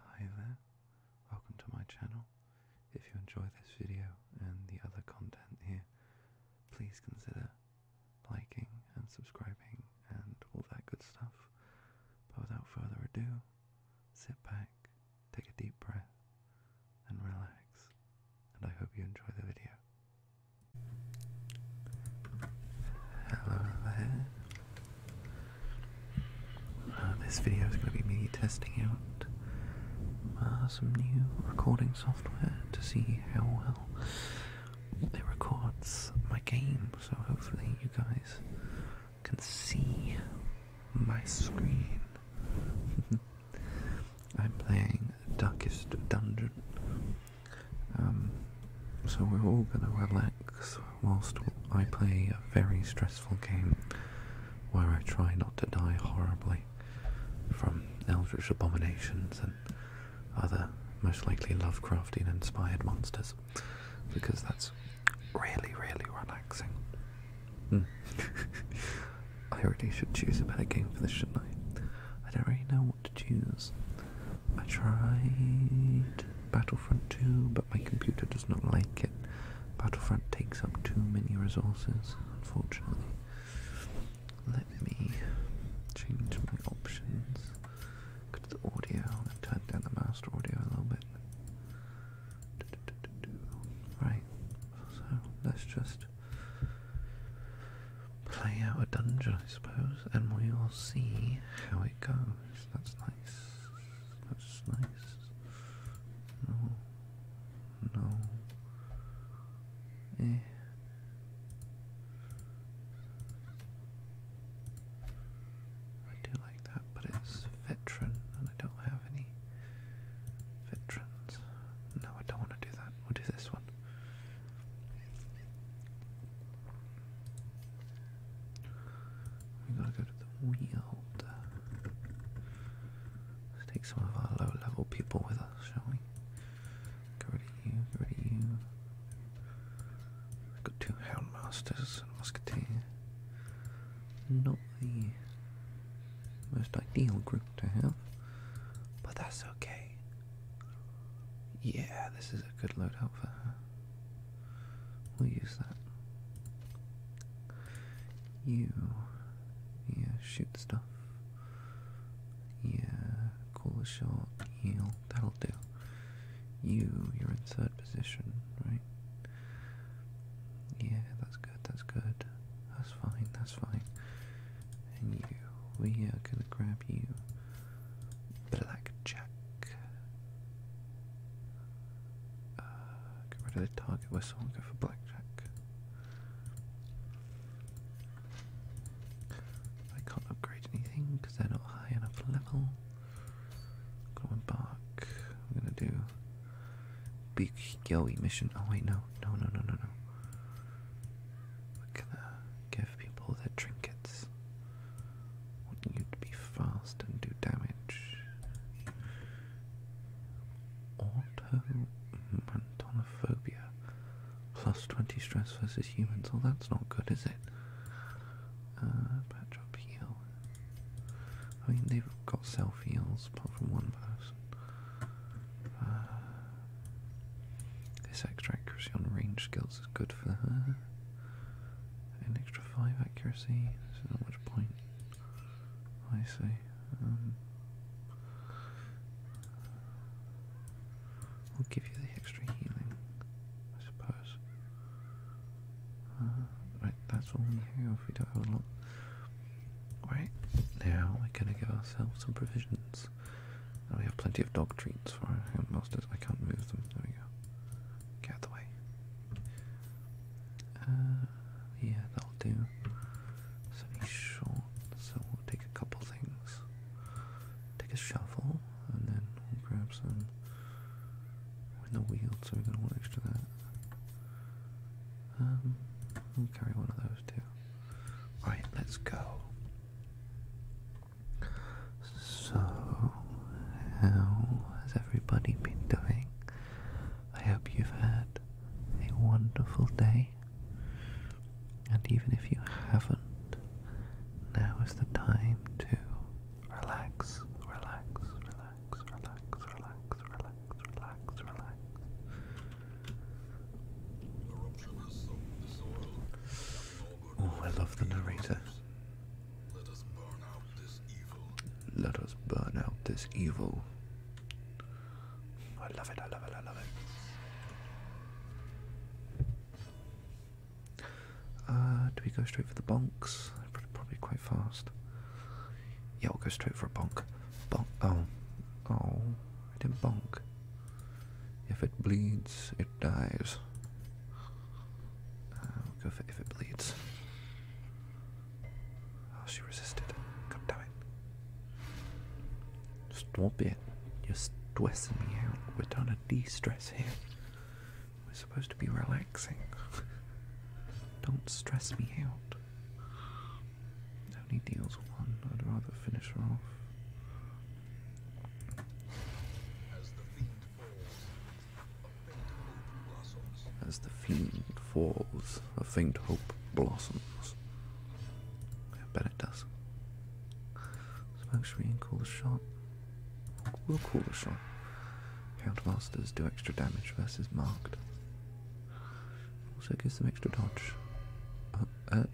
Hi there, welcome to my channel. If you enjoy this video and the other content here, please consider liking and subscribing and all that good stuff. But without further ado, sit back, take a deep breath, and relax. And I hope you enjoy the video. Hello there, uh, this video is going to be me testing out uh, some new recording software to see how well it records my game. So hopefully you guys can see my screen. I'm playing Darkest Dungeon. Um, so we're all gonna relax whilst I play a very stressful game where I try not to die horribly from eldritch abominations and other most likely Lovecraftian inspired monsters because that's really, really relaxing. Hmm. I already should choose a better game for this, shouldn't I? I don't really know what to choose. I tried Battlefront 2, but my computer does not like it. Battlefront takes up too many resources, unfortunately. Let me change my options. Go to the audio and turn down the master audio a little bit. Right, so let's just play out a dungeon, I suppose, and we'll see how it goes that's nice, that's nice. No, no, eh. I do like that, but it's veteran, and I don't have any veterans. No, I don't want to do that. We'll do this one. We gotta go to the wheel. Let's take some of our low level people with us, shall we? Get rid of you, get rid of you. We've got two masters and a musketeer. Not the most ideal group to have, but that's okay. Yeah, this is a good loadout for her. We'll use that. You, yeah, shoot stuff. Yeah, cool as shot. Yeah, That'll do. You, you're in third position, right? Yeah, that's good, that's good. That's fine, that's fine. And you, we are gonna grab you. Blackjack. Uh, get rid of the target whistle go for blackjack. I can't upgrade anything because they're not high enough level. Go and I'm gonna do big yoey mission. Oh wait, no, no, no, no, no, no. We're gonna give people their trinkets want you be fast and do damage. Automantonophobia. Plus 20 stress versus humans. Well, that's not good, is it? patch uh, up heal. I mean, they've got self heals apart from one person. Uh, this extra accuracy on range skills is good for her. An extra 5 accuracy, this is not much point. I see. Um, I'll give you the extra healing, I suppose. Uh, right, that's all we have, we don't have a lot. Right, now we're going to give ourselves some provisions. And we have plenty of dog treats for our most I can't move them. There we go. Get the way. Uh, yeah, that'll do. So he's short, so we'll take a couple things. Take a shovel, and then we'll grab some. We're in the wheel, so we're gonna want extra that. Um, we'll carry one of those too. Right, let's go. So, how has everybody been doing? I hope you've had a wonderful day. And even if you haven't, now is the time to relax, relax, relax, relax, relax, relax, relax, relax. Oh, I love the narrator. Let us burn out this evil. I love it, I love it, I love it. Uh, do we go straight for the bonks? Probably quite fast. Yeah, we'll go straight for a bonk. Bonk. Oh. Oh. I didn't bonk. If it bleeds, it dies. Um, if it bleeds. Oh, she resisted. God damn it. Stop it. You're stressing me out. We're trying to de stress here. We're supposed to be relaxing. Don't stress me out. Only deals one. I'd rather finish her off. As the fiend falls, a faint hope blossoms. I bet it does. Smoke screen, the shot. We'll call the shot. Countermasters do extra damage versus marked. Also gives them extra dodge. Uh, uh,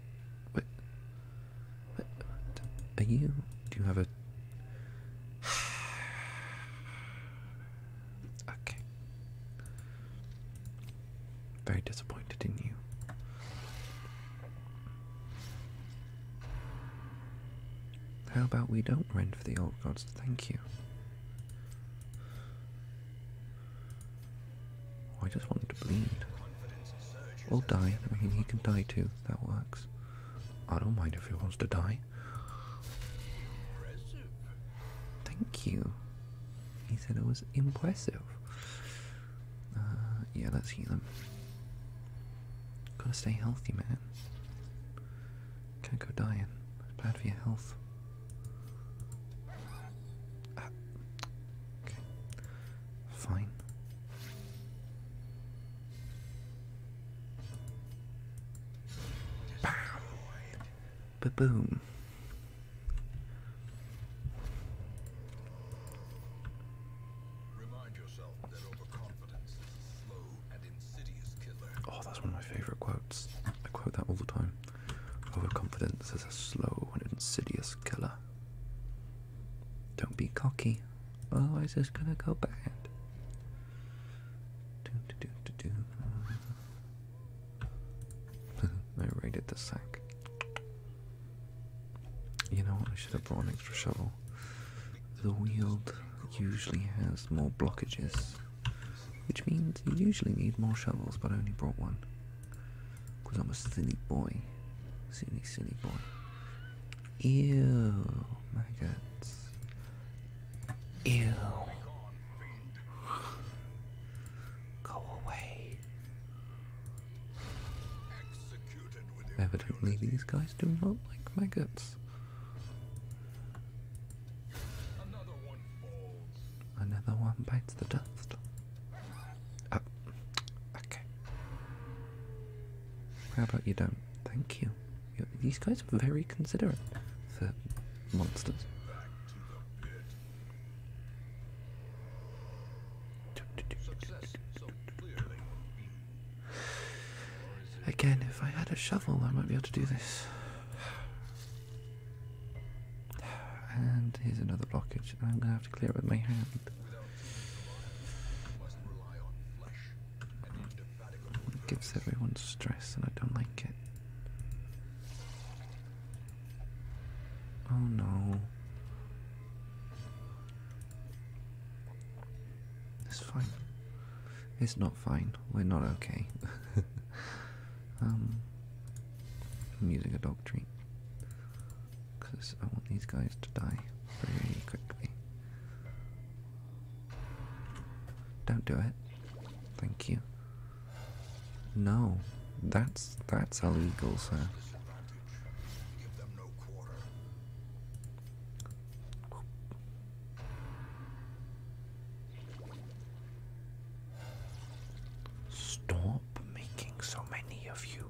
wait. Are you? Do you have a. Okay. Very disappointed in you. How about we don't rend for the old gods? Thank you. I just want him to bleed. We'll die. I mean, he can die too. That works. I don't mind if he wants to die. Impressive. Thank you. He said it was impressive. Uh, yeah, let's heal him. Gotta stay healthy, man. Can't go dying. It's bad for your health. Ah. Okay. Fine. Bam. boom. Oh, that's one of my favorite quotes. I quote that all the time. Overconfidence is a slow and insidious killer. Don't be cocky. Otherwise, it's gonna go bad. I raided the sack. You know I should have brought an extra shovel. The wield usually has more blockages, which means you usually need more shovels, but I only brought one. Because I'm a silly boy. Silly, silly boy. Ew, my guts. Ew. Go away. Evidently, these guys do not like my guts. Another one bites the dust. Uh, okay. How about you don't? Thank you. these guys are very considerate for monsters. Again, if I had a shovel, I might be able to do this. And here's another blockage, and I'm gonna have to clear it with my hand. It gives everyone stress, and I don't like it. Oh no. It's fine. It's not fine. We're not okay. um, I'm using a dog treat because I want these guys to die very quickly. Don't do it. Thank you. No, that's that's illegal, sir. Stop making so many of you.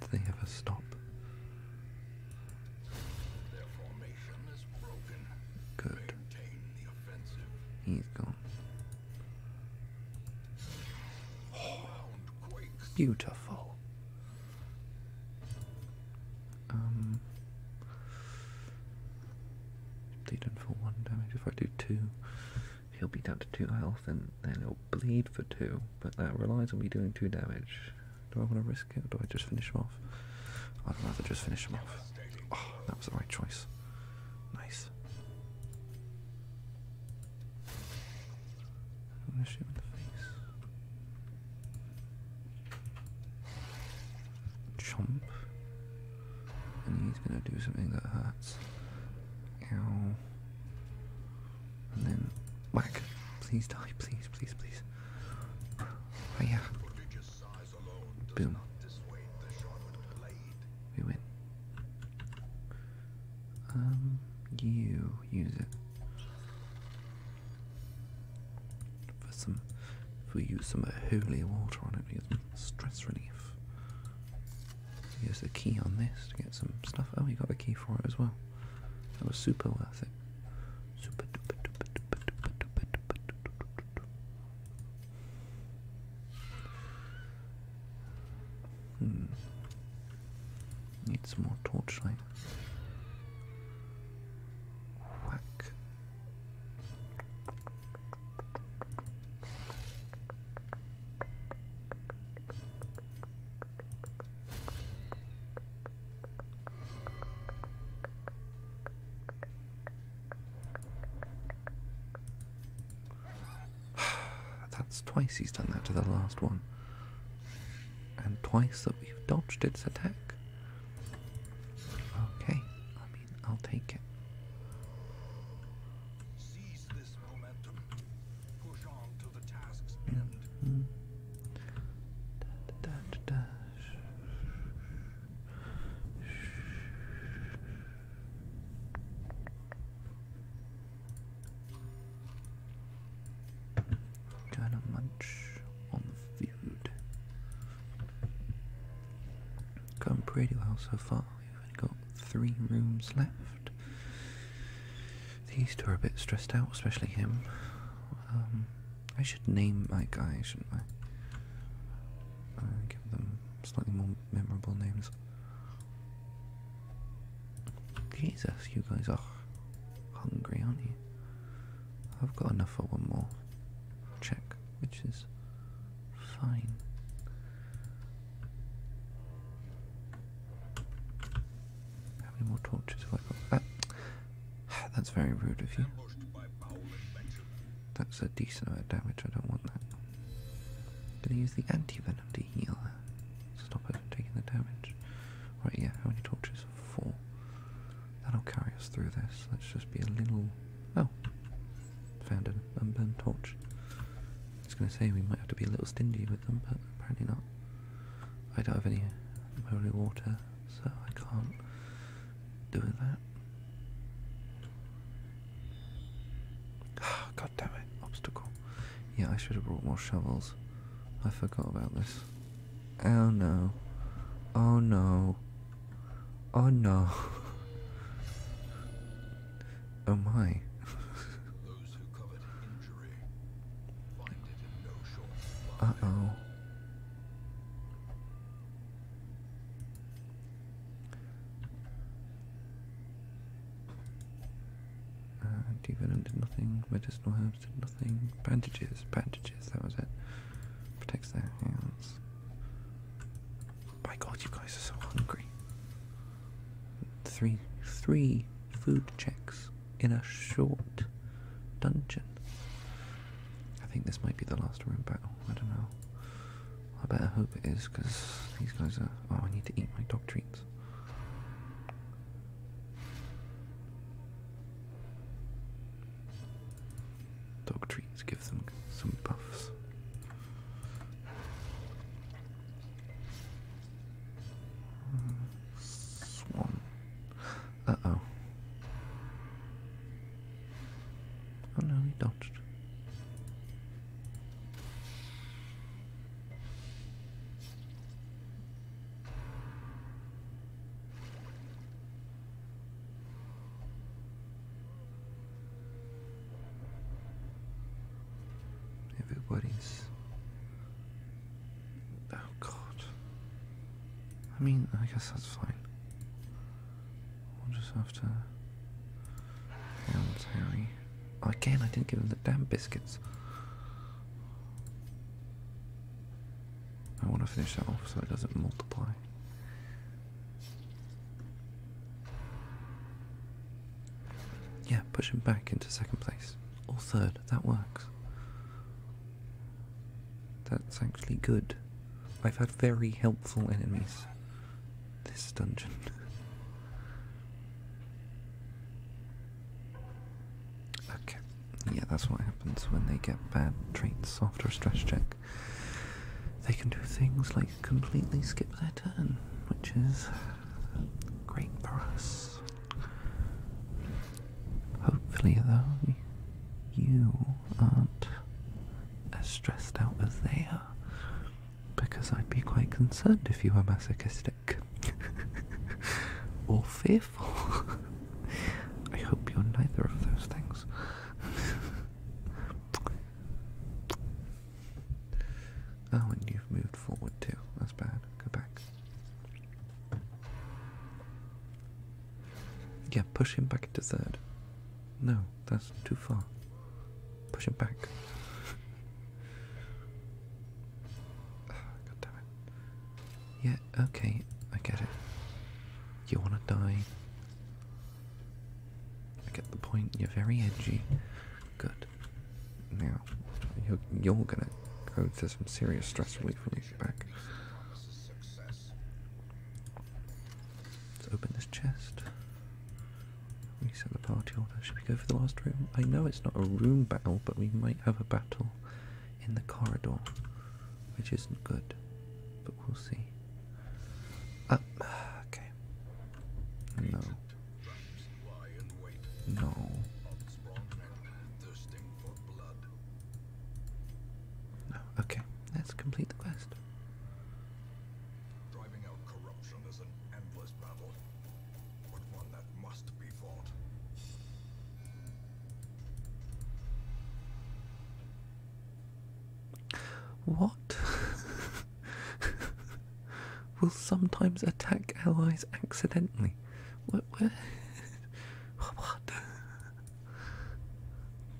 Do they ever stop? Good. He's gone. beautiful. Um they done for one damage. If I do two, he'll be down to two health and then he'll bleed for two, but that relies on me doing two damage. Do I want to risk it, or do I just finish him off? I'd rather just finish him off. Oh, that was the right choice. Nice. i him in the face. Chomp. And he's gonna do something that hurts. Ow. And then whack. Please die, please, please, please. Oh yeah. Boom. We win. Um, you use it for some. If we use some holy water on it, we stress relief. Use the key on this to get some stuff. Oh, you got the key for it as well. That was super worth it. Super Need some more torchlight. Whack. That's twice he's done that to the last one. And twice that we've dodged its attack. Okay, I mean, I'll take it. Seize this momentum. Push Kind of munch on the food. Going pretty well so far. We've only got three rooms left. These two are a bit stressed out, especially him. Um, I should name my guys, shouldn't I? Uh, give them slightly more memorable names. Jesus, you guys are hungry, aren't you? I've got enough for one more check, which is fine. How many more torches have I got? Ah, that's very rude of you. That's a decent amount of damage, I don't want that. I'm gonna use the anti-venom to heal her. Stop her from taking the damage. Right, yeah, how many torches? Four. That'll carry us through this. Let's just be a little... Oh. Found an unburned torch. I was going to say we might have to be a little stingy with them, but apparently not. I don't have any holy water, so I can't do that. Ah, God damn it, obstacle. Yeah, I should have brought more shovels. I forgot about this. Oh no. Oh no. Oh no. Oh my. Uh oh. Uh, did nothing, medicinal herbs did nothing, bandages, bandages, that was it. Protects their hands. By God, you guys are so hungry. Three, three food checks in a short dungeon. I think this might be the last room battle. I don't know. I better hope it is because these guys are. Oh, I need to eat my dog treats. Dog treats give them some buffs. Swan. Uh oh. Oh no, he dodged. Everybody's. Oh god. I mean, I guess that's fine. We'll just have to. Hell, Harry. Oh, again, I didn't give him the damn biscuits. I want to finish that off so it doesn't multiply. Yeah, push him back into second place. Or third, that works. That's actually good. I've had very helpful enemies this dungeon. okay, yeah, that's what happens when they get bad traits after a stress check. They can do things like completely skip their turn, which is great for us. Hopefully, though, you aren't as stressed out as they are, because I'd be quite concerned if you were masochistic or fearful. I hope you're neither of those things. Oh, and you've moved forward too. That's bad. Go back. Yeah, push him back to third. No, that's too far. Push him back. Ah, God damn it. Yeah, okay, I get it. You wanna die? I get the point. You're very edgy. Good. Now, you're, gonna go to some serious stress relief when you back. Let's open this chest. Reset the party order. Should we go for the last room? I know it's not a room battle, but we might have a battle in the corridor, which isn't good, but we'll see. Uh, okay. No. No. Okay. Let's complete the quest. Driving out corruption is an endless battle, What? will sometimes attack allies accidentally. What? what?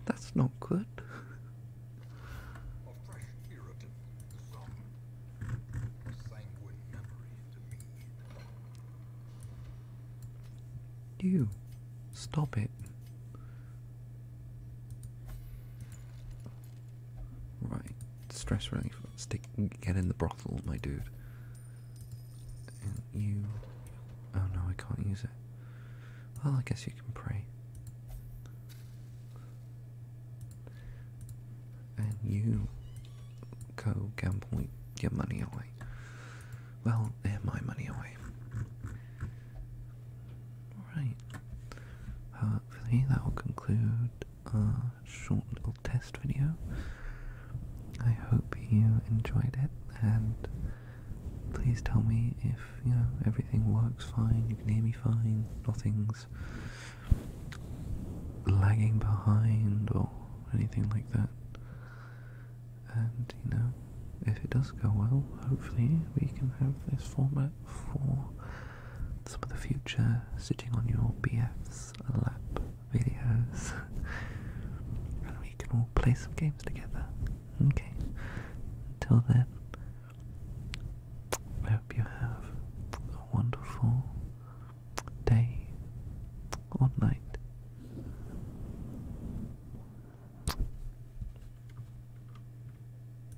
That's not good. You stop it. Right, stress relief. Stick, get in the brothel, my dude. you. Oh no, I can't use it. Well, I guess you can pray. And you go gamble get money away. Well, they're eh, my money away. Right hopefully that will conclude our short little test video. I hope you enjoyed it and please tell me if you know everything works fine, you can hear me fine, nothing's lagging behind or anything like that. And you know, if it does go well, hopefully we can have this format for some of the future sitting on your BF's lap videos. and we can all play some games together. Okay. Until then, I hope you have a wonderful day or night.